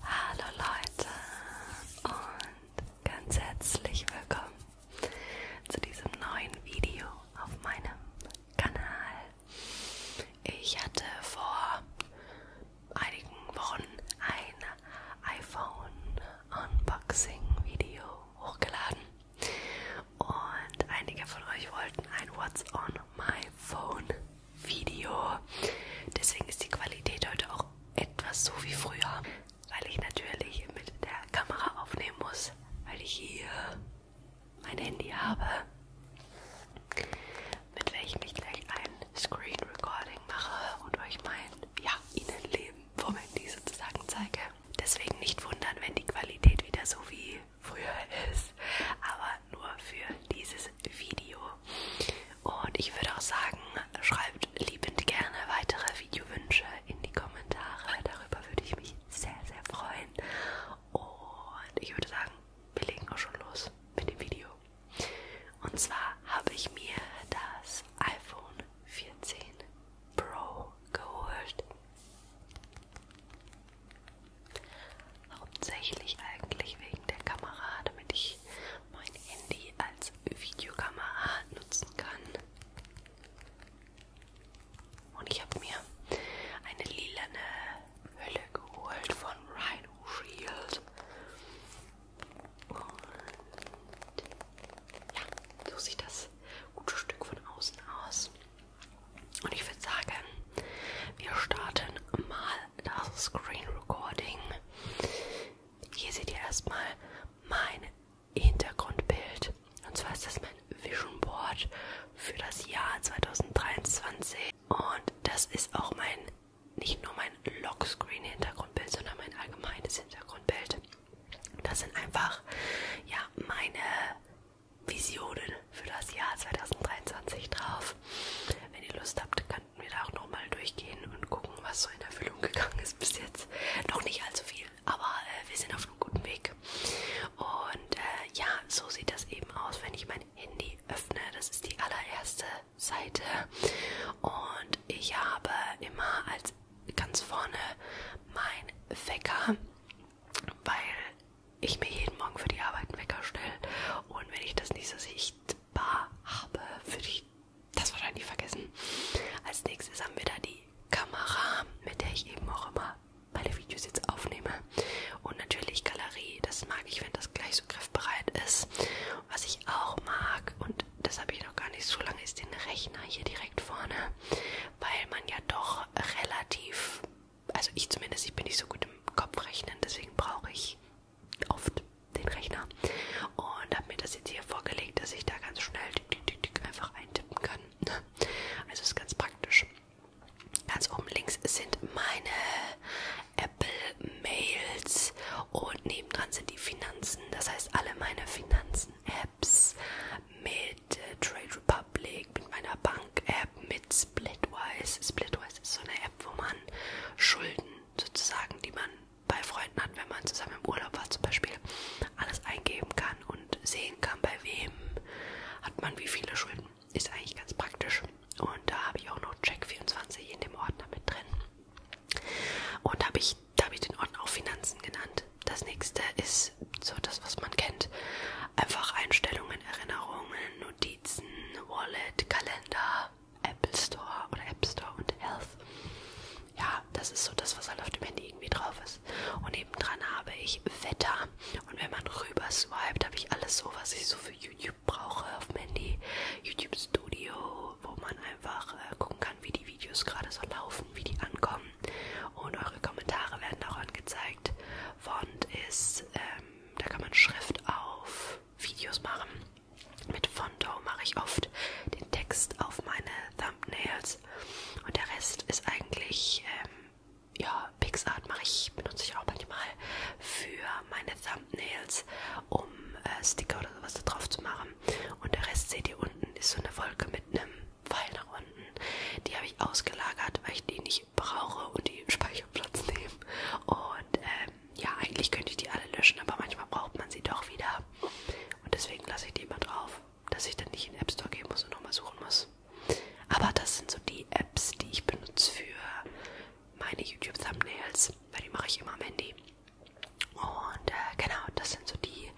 Hallo Leute und ganz herzlich willkommen zu diesem neuen Video auf meinem Kanal. Ich hatte vor einigen Wochen ein iPhone Unboxing Video hochgeladen und einige von euch wollten ein What's on my phone Video. Deswegen ist die Qualität heute auch etwas so wie früher, weil ich natürlich mit der Kamera aufnehmen muss, weil ich hier mein Handy habe, mit welchem ich gleich ein Screen Recording mache und euch mein ja, Innenleben vom Handy sozusagen zeige. Deswegen nicht wundern, wenn die Qualität wieder so wie früher ist. Aber nur für dieses Video. Und ich würde auch sagen, schreibt liebend gerne weitere Videowünsche in die Kommentare. Darüber würde ich mich sehr, sehr freuen. Und ich würde sagen, wir legen auch schon los mit dem Video. Und zwar habe ich mir das iPhone 14 Pro geholt hauptsächlich eigentlich wegen der Kamera, damit ich mein Handy als Videokamera nutzen kann. Und ich habe mir eine lilane Hülle geholt von Rhino Shield. Und ja, so sieht das gute Stück von außen aus. Und ich würde sagen, wir starten mal das Screen Recording. Hier seht ihr erstmal mein Hintergrundbild. Und zwar ist das mein Vision Board für das Jahr 2023. Und das ist auch mein, nicht nur mein Lockscreen Hintergrundbild, sondern mein allgemeines Hintergrundbild. Das sind einfach, ja, meine Visionen für das Jahr 2023 drauf. Wenn ihr Lust habt, könnten wir da auch nochmal durchgehen und gucken, was so in Erfüllung gegangen ist bis jetzt. Noch nicht allzu viel, aber äh, wir sind auf einem guten Weg. Und äh, ja, so sieht das eben aus, wenn ich mein Handy öffne. Das ist die allererste Seite. Und ich habe immer als ganz vorne mein Wecker, weil ich mir jeden Morgen für die Arbeit einen Wecker stelle. Und wenn ich das nicht so sehe, ich Bar habe für die. Das wahrscheinlich vergessen. Als nächstes haben wir da die Kamera, mit der ich eben auch immer meine Videos jetzt aufnehme. Und natürlich Galerie. Das mag ich, wenn das gleich so griffbereit ist. Was ich auch mag, und das habe ich noch gar nicht so lange, ist den Rechner hier direkt vorne. Weil man ja doch relativ. Also ich zumindest, ich bin nicht so gut im Kopfrechnen, deswegen brauche ich oft den Rechner und habe mir das jetzt hier vorgelegt, dass ich da ganz schnell tick, tick, tick, tick einfach eintippen kann. Also ist ganz praktisch. Ganz oben links sind meine Apple Mails und nebendran sind die Finanzen. Das heißt, alle meine Finanzen-Apps mit äh, Trade Republic, mit meiner Bank-App, mit Splitwise. Splitwise ist so eine App, wo man Schulden sozusagen, die man bei Freunden hat, wenn man zusammen im Urlaub war zum Beispiel, alles eingeben kann und sehen kann, bei wem hat man wie viele Schulden. Ist eigentlich ganz praktisch. Und da habe ich auch noch Check24 in dem Ordner mit drin. Und da habe ich, da hab ich den Ordner auch Finanzen genannt. Das nächste ist so das, was man kennt. Einfach Einstellungen, Erinnerungen, Notizen, Wallet, Kalender, Apple Store oder App Store und Health. Ja, das ist so das, was halt auf dem Handy irgendwie drauf ist. Und nebendran habe ich Wetter. Und wenn man rüber swiped, habe ich alles so, was ich so für YouTube brauche auf dem Handy. YouTube Studio, wo man einfach äh, gucken kann, wie die Videos gerade so laufen, wie die ankommen. Und eure Kommentare werden auch angezeigt. Font ist, ähm, da kann man Schrift auf Videos machen. Mit Fondo mache ich oft den Text auf meine Thumbnails und der Rest ist eigentlich, ähm, ja, PixArt mache ich, benutze ich auch manchmal für meine Thumbnails, um äh, Sticker oder sowas da drauf zu machen. Und der Rest seht ihr unten, ist so eine Wolke mit einem Pfeil nach unten. Die habe ich ausgelagert, weil ich die nicht brauche und die Speicherplatz nehmen. Und äh, ja, eigentlich könnte ich die alle löschen, aber manchmal braucht man sie doch wieder. Und deswegen lasse ich die immer drauf, dass ich dann nicht in den App Store gehen muss und nochmal suchen muss. Aber das sind so die Apps, die ich benutze für meine YouTube-Thumbnails, weil die mache ich immer am Handy. Und äh, genau, das sind so die,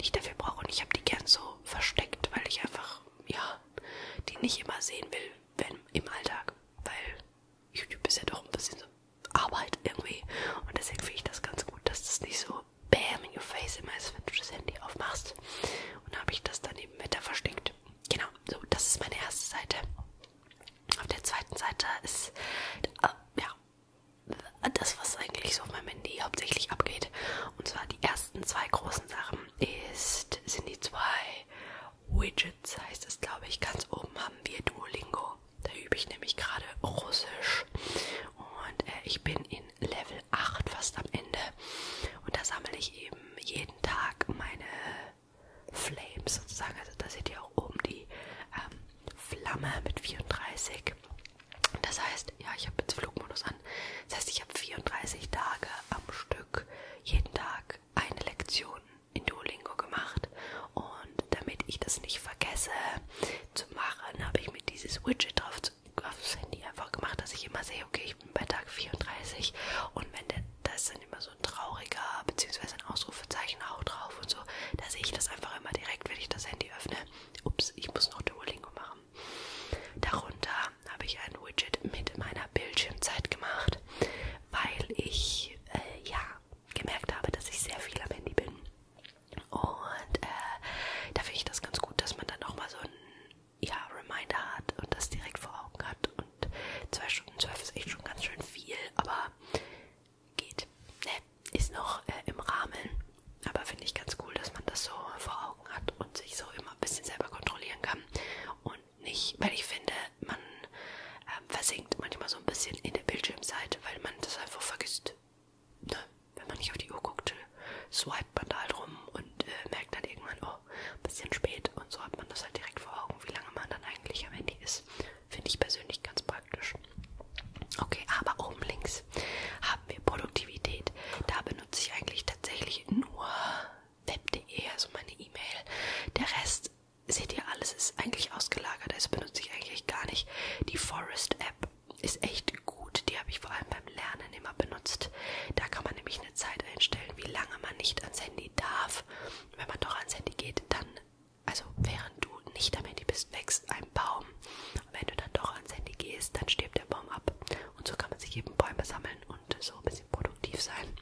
die ich dafür brauche. Und ich habe die gern so versteckt, weil ich einfach, ja, die nicht immer sehen will, wenn im Alltag. Weil YouTube ist ja doch ein bisschen so Arbeit irgendwie. Und deswegen finde ich das ganz gut, dass das nicht so bam in your face immer ist, wenn du das Handy aufmachst. Und habe ich das dann eben weiter versteckt. Genau, so, das ist meine erste Seite. Auf der zweiten Seite ist, äh, ja, das, was eigentlich so auf meinem Handy hauptsächlich abgeht. Und zwar die ersten zwei großen Sachen ist, sind die zwei Widgets heißt es, glaube ich. Ganz oben haben wir Duolingo. Da übe ich nämlich gerade Russisch. Und äh, ich bin in Level 8 fast am Ende. Und da sammle ich eben jeden Tag meine Flames sozusagen. Also da seht ihr auch oben die ähm, Flamme mit 34. Das heißt, ja, ich habe jetzt Flugmodus an. Das heißt, ich habe 34 Tage am Stück, jeden Tag eine Lektion in Duolingo gemacht und damit ich das nicht vergesse zu machen, habe ich mir dieses Widget drauf aufs Handy einfach gemacht, dass ich immer sehe, okay, ich bin bei Tag 34 und wenn der, da ist dann immer so ein trauriger bzw. ein Ausrufezeichen auch drauf und so, da sehe ich das einfach immer direkt, wenn ich das Handy öffne. Ups, ich muss noch Duolingo machen. Darunter habe ich ein Widget mit meiner Bildschirmzeit gemacht weil ich äh, ja gemerkt habe, dass ich sehr viel am Handy bin. Und äh, da finde ich das ganz gut, dass man dann auch mal so ein ja, Reminder hat und das direkt vor Augen hat. Und 2 Stunden 12 ist echt schon ganz schön viel, aber geht. Ne, ist noch äh, im Rahmen. Aber finde ich ganz cool, dass man das so vor Augen hat und sich so immer ein bisschen selber kontrollieren kann. Und und nicht, weil ich finde, man ähm, versinkt manchmal so ein bisschen in der Bildschirmseite, weil man das einfach vergisst. Ne? Wenn man nicht auf die Uhr guckt, swipet man da halt rum und äh, merkt dann irgendwann, oh, ein bisschen spät. Und so hat man das halt direkt vor Augen, wie lange man dann eigentlich am Handy ist. Finde ich persönlich ganz praktisch. Okay, aber oben links haben wir Produktivität. Da benutze ich eigentlich tatsächlich nur web.de, also meine E-Mail. Der Rest seht ihr, alles ist eigentlich ausgelagert. Also benutze ich eigentlich gar nicht. Die Forest App ist echt gut. Die habe ich vor allem beim Lernen immer benutzt. Da kann man nämlich eine Zeit einstellen, wie lange man nicht ans Handy darf. Wenn man doch ans Handy geht, dann, also während du nicht am Handy bist, wächst ein Baum. Und wenn du dann doch ans Handy gehst, dann stirbt der Baum ab. Und so kann man sich eben Bäume sammeln und so ein bisschen produktiv sein.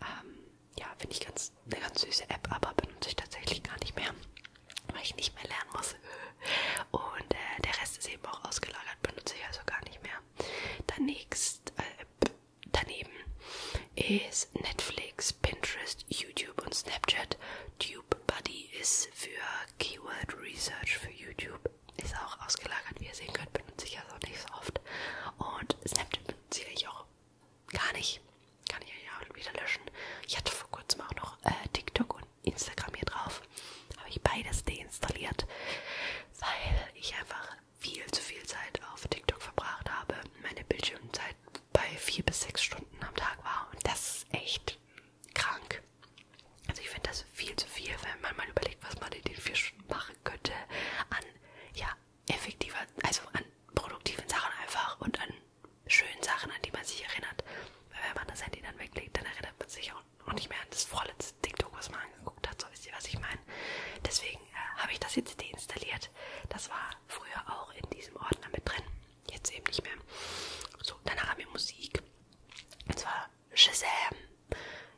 Ähm, ja, finde ich ganz, eine ganz süße App, aber benutze ich tatsächlich gar nicht mehr, weil ich nicht mehr lernen muss. Und äh, der Rest ist eben auch ausgelagert, benutze ich also gar nicht mehr. Danächst, äh, daneben ist Netflix, Pinterest, YouTube und Snapchat. TubeBuddy ist für Keyword Research für YouTube. Ist auch ausgelagert, wie ihr sehen könnt, benutze ich also nicht so oft. Und Snapchat benutze ich auch Gar nicht. Kann ich ja wieder löschen. Ich hatte vor kurzem auch noch äh, TikTok und Instagram hier drauf. Habe ich beides deinstalliert, weil ich einfach viel zu viel Zeit auf TikTok verbracht habe. Meine Bildschirmzeit bei vier bis sechs Stunden am Tag war. Und das ist echt krank. Also ich finde das viel zu viel, wenn man mal überlegt, was man in den vier Stunden machen könnte an ja, effektiver, also an produktiven Sachen einfach und an schönen Sachen, an die man sich erinnert. Weil wenn man das Handy dann weglegt, dann erinnert man sich auch nicht mehr an das vorletzte TikTok, was man angeguckt hat. So wisst ihr, was ich meine. Deswegen äh, habe ich das jetzt deinstalliert. Das war früher auch in diesem Ordner mit drin. Jetzt eben nicht mehr. So, danach haben wir Musik. Und zwar Shazam.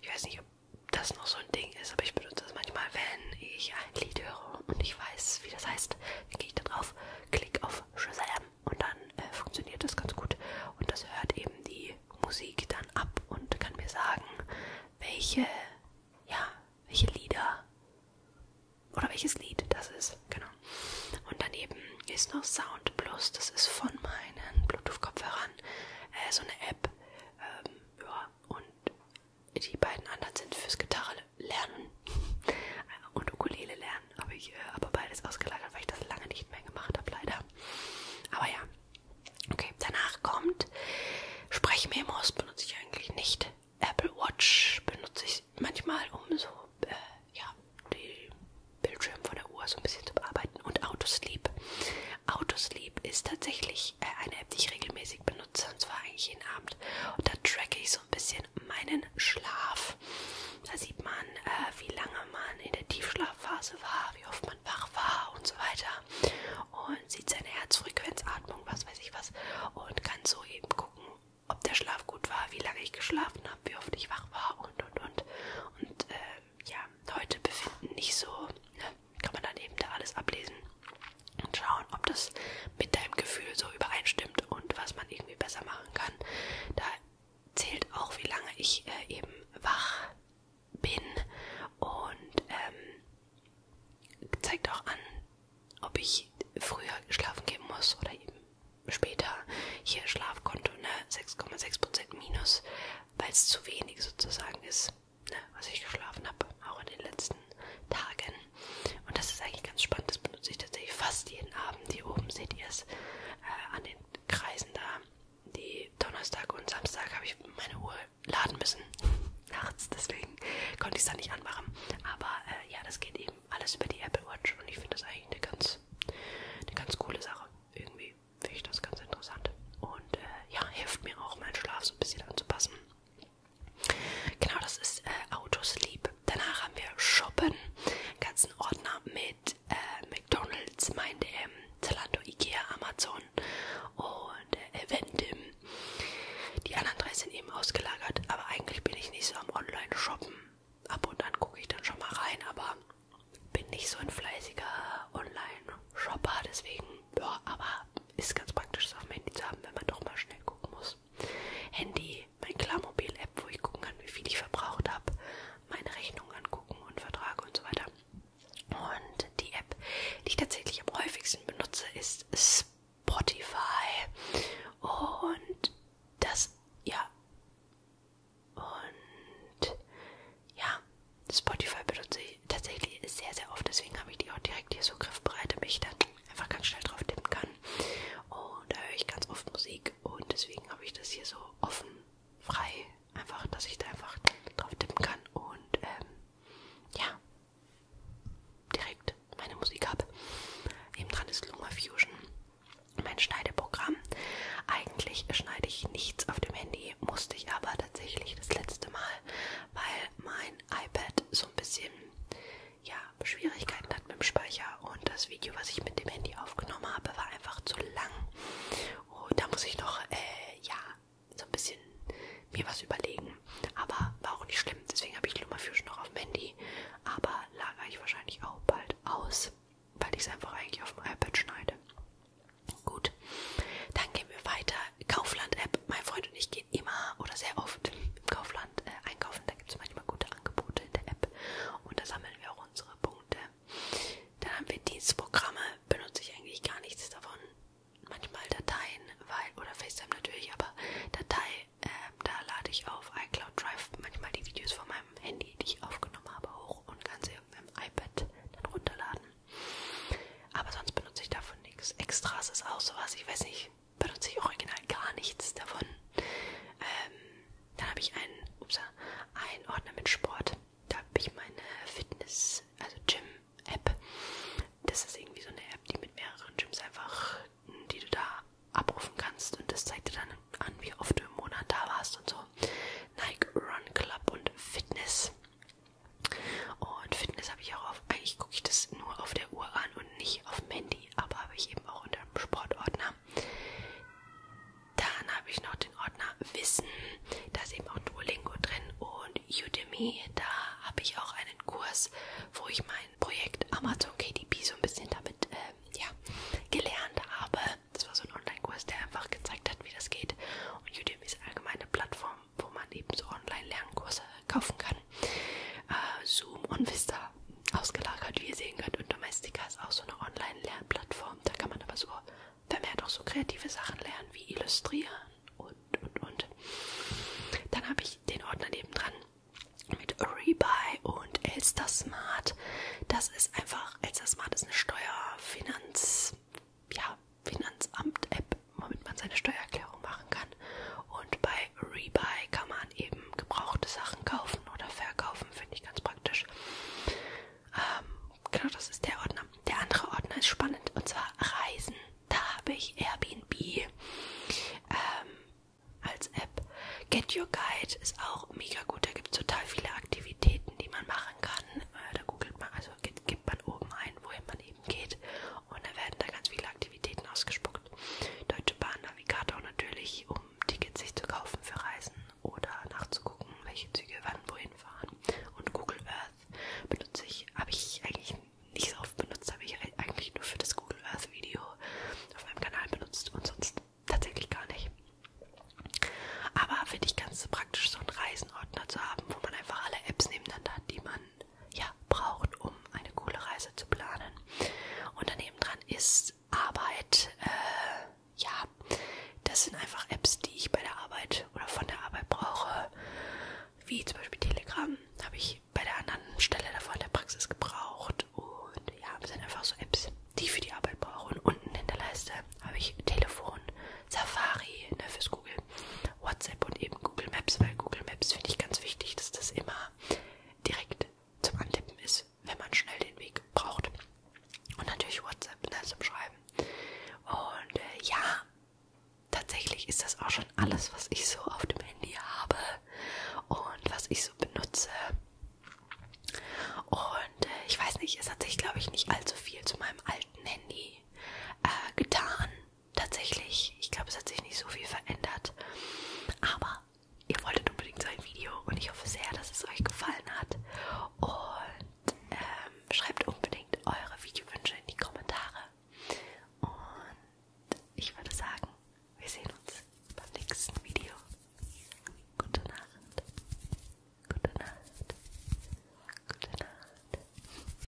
Ich weiß nicht, ob das noch so ein Ding ist, aber ich benutze das manchmal, wenn ich ein Lied höre und ich weiß, wie das heißt, dann gehe ich da drauf, klicke auf Shazam und dann äh, funktioniert das ganz gut. Und das hört eben die Musik dann ab und kann mir sagen, welche, ja, welche Lieder oder welches Lied das ist, genau. Und daneben ist noch Sound Plus, das ist von meinen Bluetooth-Kopfhörern, äh, so eine App, ähm, ja, und die beiden anderen sind fürs Gitarre lernen und Ukulele lernen. Habe ich äh, aber beides ausgelagert, weil ich das lange nicht mehr gemacht habe, leider. Aber ja. Okay, danach kommt Sprechmemos benutze ich eigentlich nicht. Apple Watch benutze ich manchmal, um so äh, ja, die Bildschirm von der Uhr so ein bisschen zu bearbeiten. Und Autosleep. Autosleep ist tatsächlich ich äh, eine App, die ich regelmäßig benutze, und zwar eigentlich jeden Abend. Und da tracke ich so ein bisschen meinen Schlaf. Da sieht man, äh, wie lange man in der Tiefschlafphase war, wie oft man wach war und so weiter. Und sieht seine Herzfrequenz, Atmung, was weiß ich was. Und kann so eben gucken, ob der Schlaf gut war, wie lange ich geschlafen habe, wie oft ich wach war und und und. Und äh, ja, Leute befinden nicht so, ne? kann man dann eben da alles ablesen und schauen, ob das mit deinem Gefühl so übereinstimmt und was man irgendwie besser machen kann. Da zählt auch, wie lange ich äh, eben wach bin und ähm, zeigt auch an, ob ich früher schlafen gehen muss oder eben später. Hier Schlafkonto, ne, 6,6% minus, weil es zu wenig sozusagen ist ne, was ich geschlafen habe, auch in den letzten Tagen. Und das ist eigentlich ganz spannend, das benutze ich tatsächlich fast jeden Abend. Hier oben seht ihr es äh, an den Kreisen da. Die Donnerstag und Samstag habe ich meine Uhr laden müssen. Nachts, deswegen konnte ich es da nicht anmachen. Aber äh, ja, das geht eben alles über die Apple Watch und ich finde das eigentlich eine ganz, eine ganz coole Sache. Irgendwie finde ich das ganz interessant. Und äh, ja, hilft mir auch, meinen Schlaf so ein bisschen anzupassen. Genau, das ist äh, Autosleep. Danach haben wir Shoppen, ganzen Ordner mit äh, McDonalds, Mein DM, Zalando, Ikea, Amazon und äh, Eventim. Die anderen drei sind eben ausgelagert, aber eigentlich bin ich nicht so am Online-Shoppen. Ab und an gucke ich dann schon mal rein, aber bin nicht so ein fleißiger Online-Shopper, deswegen ja, aber ist ganz praktisch, es auf dem Handy zu haben, wenn man doch mal schnell gucken muss. Handy, mein Klarmobil-App, wo ich gucken kann, wie viel ich verbraucht habe, meine Rechnung angucken und Verträge und so weiter. Und die App, die ich tatsächlich am häufigsten benutze, ist Spotify. Und das, ja. Und ja, Spotify benutze die tatsächlich sehr, sehr oft. Deswegen habe ich die auch direkt hier so griffbereit, damit ich dann einfach ganz schnell drauf tippen kann. Und da höre ich ganz oft Musik und deswegen habe ich das hier so offen, frei, einfach, dass ich da einfach drauf tippen kann und ähm, ja, direkt meine Musik habe. Eben dran ist Luma Fusion, mein Schneideprogramm. Eigentlich schneide ich nichts auf dem Handy, musste ich aber tatsächlich das letzte Mal, weil mein iPad so ein bisschen ja, Schwierigkeiten hat mit dem Speicher und das Video, was ich mit dem Handy aufgenommen habe, war einfach zu lang. Und da muss ich noch, äh, ja, so ein bisschen mir was überlegen. Aber war auch nicht schlimm, deswegen habe ich Lumafusion noch auf dem Handy. Aber lagere ich wahrscheinlich auch bald aus, weil ich es einfach eigentlich auf dem iPad schneide. Gut, dann gehen wir weiter. Kaufland-App. Mein Freund und ich geht immer oder sehr oft im Kaufland äh, einkaufen. Da gibt es manchmal gute Angebote in der App und da sammeln wir auch unsere Punkte. Dann haben wir Dienstprogramme, benutze ich eigentlich gar nichts davon. Manchmal Dateien, weil, oder FaceTime natürlich, aber Datei, äh, da lade ich auf iCloud Drive manchmal die Videos von meinem Handy, die ich aufgenommen habe, hoch und kann sie auf meinem iPad dann runterladen. Aber sonst benutze ich davon nichts. Extras ist auch sowas, ich weiß nicht, benutze ich original gar nichts davon. Ähm, dann habe ich einen, ups, einen Ordner mit Sport. Da habe ich meine Fitness, also Gym-App. Das ist irgendwie so eine App, die mit mehreren Gyms einfach, die du da abrufen kannst. Und das zeigt dir dann an, wie oft du im Monat da warst und so. Nike Run Club und Fitness. Und Fitness habe ich auch auf, eigentlich gucke ich das nur auf der Uhr an und nicht auf dem Handy, aber habe ich eben auch unter dem Sportordner. Dann habe ich noch den Ordner Wissen, da ist eben auch Duolingo drin und Udemy, da habe ich auch einen Kurs, wo ich mein Projekt Amazon KDP so ein bisschen damit äh, ja, gelernt habe. Das war so ein Online-Kurs, der einfach gezeigt hat, wie das geht. Und Udemy ist allgemein eine Plattform, wo man eben so Online-Lernkurse kaufen kann. Äh, Zoom und Vista ausgelagert, wie ihr sehen könnt. Und Domestika ist auch so eine Online-Lernplattform. Da kann man aber so vermehrt auch so kreative Sachen lernen, wie Illustrieren und, und, und. Dann habe ich den Ordner nebendran mit Rebuy und Elster Smart. Das ist einfach, Elster Smart ist eine Steuerfinanz, ja, Finanzamt-App, womit man seine Steuererklärung machen kann. Und bei Rebuy kann man eben gebrauchte Sachen kaufen oder verkaufen, finde ich ganz praktisch. Ähm, genau, das ist der Ordner. Der andere Ordner ist spannend und zwar Reisen. Da habe ich Airbnb ähm, als App. Get Your Guide ist auch mega gut. Da gibt es total viele Aktivitäten, die man machen kann. Äh, da googelt man, also gibt man oben ein, wohin man eben geht und da werden da ganz viele Aktivitäten ausgespuckt. Deutsche Bahn Navigator natürlich, um Tickets sich zu kaufen für Reisen oder nachzugucken, welche Züge wann wohin fahren. Und Google Earth benutze ich, habe ich eigentlich nicht so oft benutzt, habe ich eigentlich nur für das Google Earth Video auf meinem Kanal benutzt und sonst tatsächlich gar nicht. Aber finde ich ganz praktisch, so einen Reisenordner zu haben, wo man einfach alle Apps nebeneinander hat, die man ja, braucht, um eine coole Reise zu planen. Und daneben dran ist Arbeit. Äh, ja, das sind einfach Apps, die ich bei der Arbeit oder von der Arbeit brauche. Wie zum Beispiel Telegram habe ich bei der anderen Stelle davor in der Praxis gebraucht. Und ja, das sind einfach so Apps, die ich für die Arbeit brauche. Und unten in der Leiste habe ich Telefon, Safari ne, fürs Google WhatsApp und eben Google Maps, weil Google Maps finde ich ganz wichtig, dass das immer direkt zum Antippen ist, wenn man schnell den Weg braucht. Und natürlich WhatsApp ne, zum Schreiben. Und äh, ja, tatsächlich ist das auch schon alles, was ich so auf dem Handy habe und was ich so benutze. Und äh, ich weiß nicht, es hat sich, glaube ich, nicht allzu viel zu meinem alten Handy äh, getan tatsächlich, ich glaube, es hat sich nicht so viel verändert. Aber ihr wolltet unbedingt so ein Video und ich hoffe sehr, dass es euch gefallen hat. Und ähm, schreibt unbedingt eure Videowünsche in die Kommentare. Und ich würde sagen, wir sehen uns beim nächsten Video. Gute Nacht. Gute Nacht. Gute Nacht.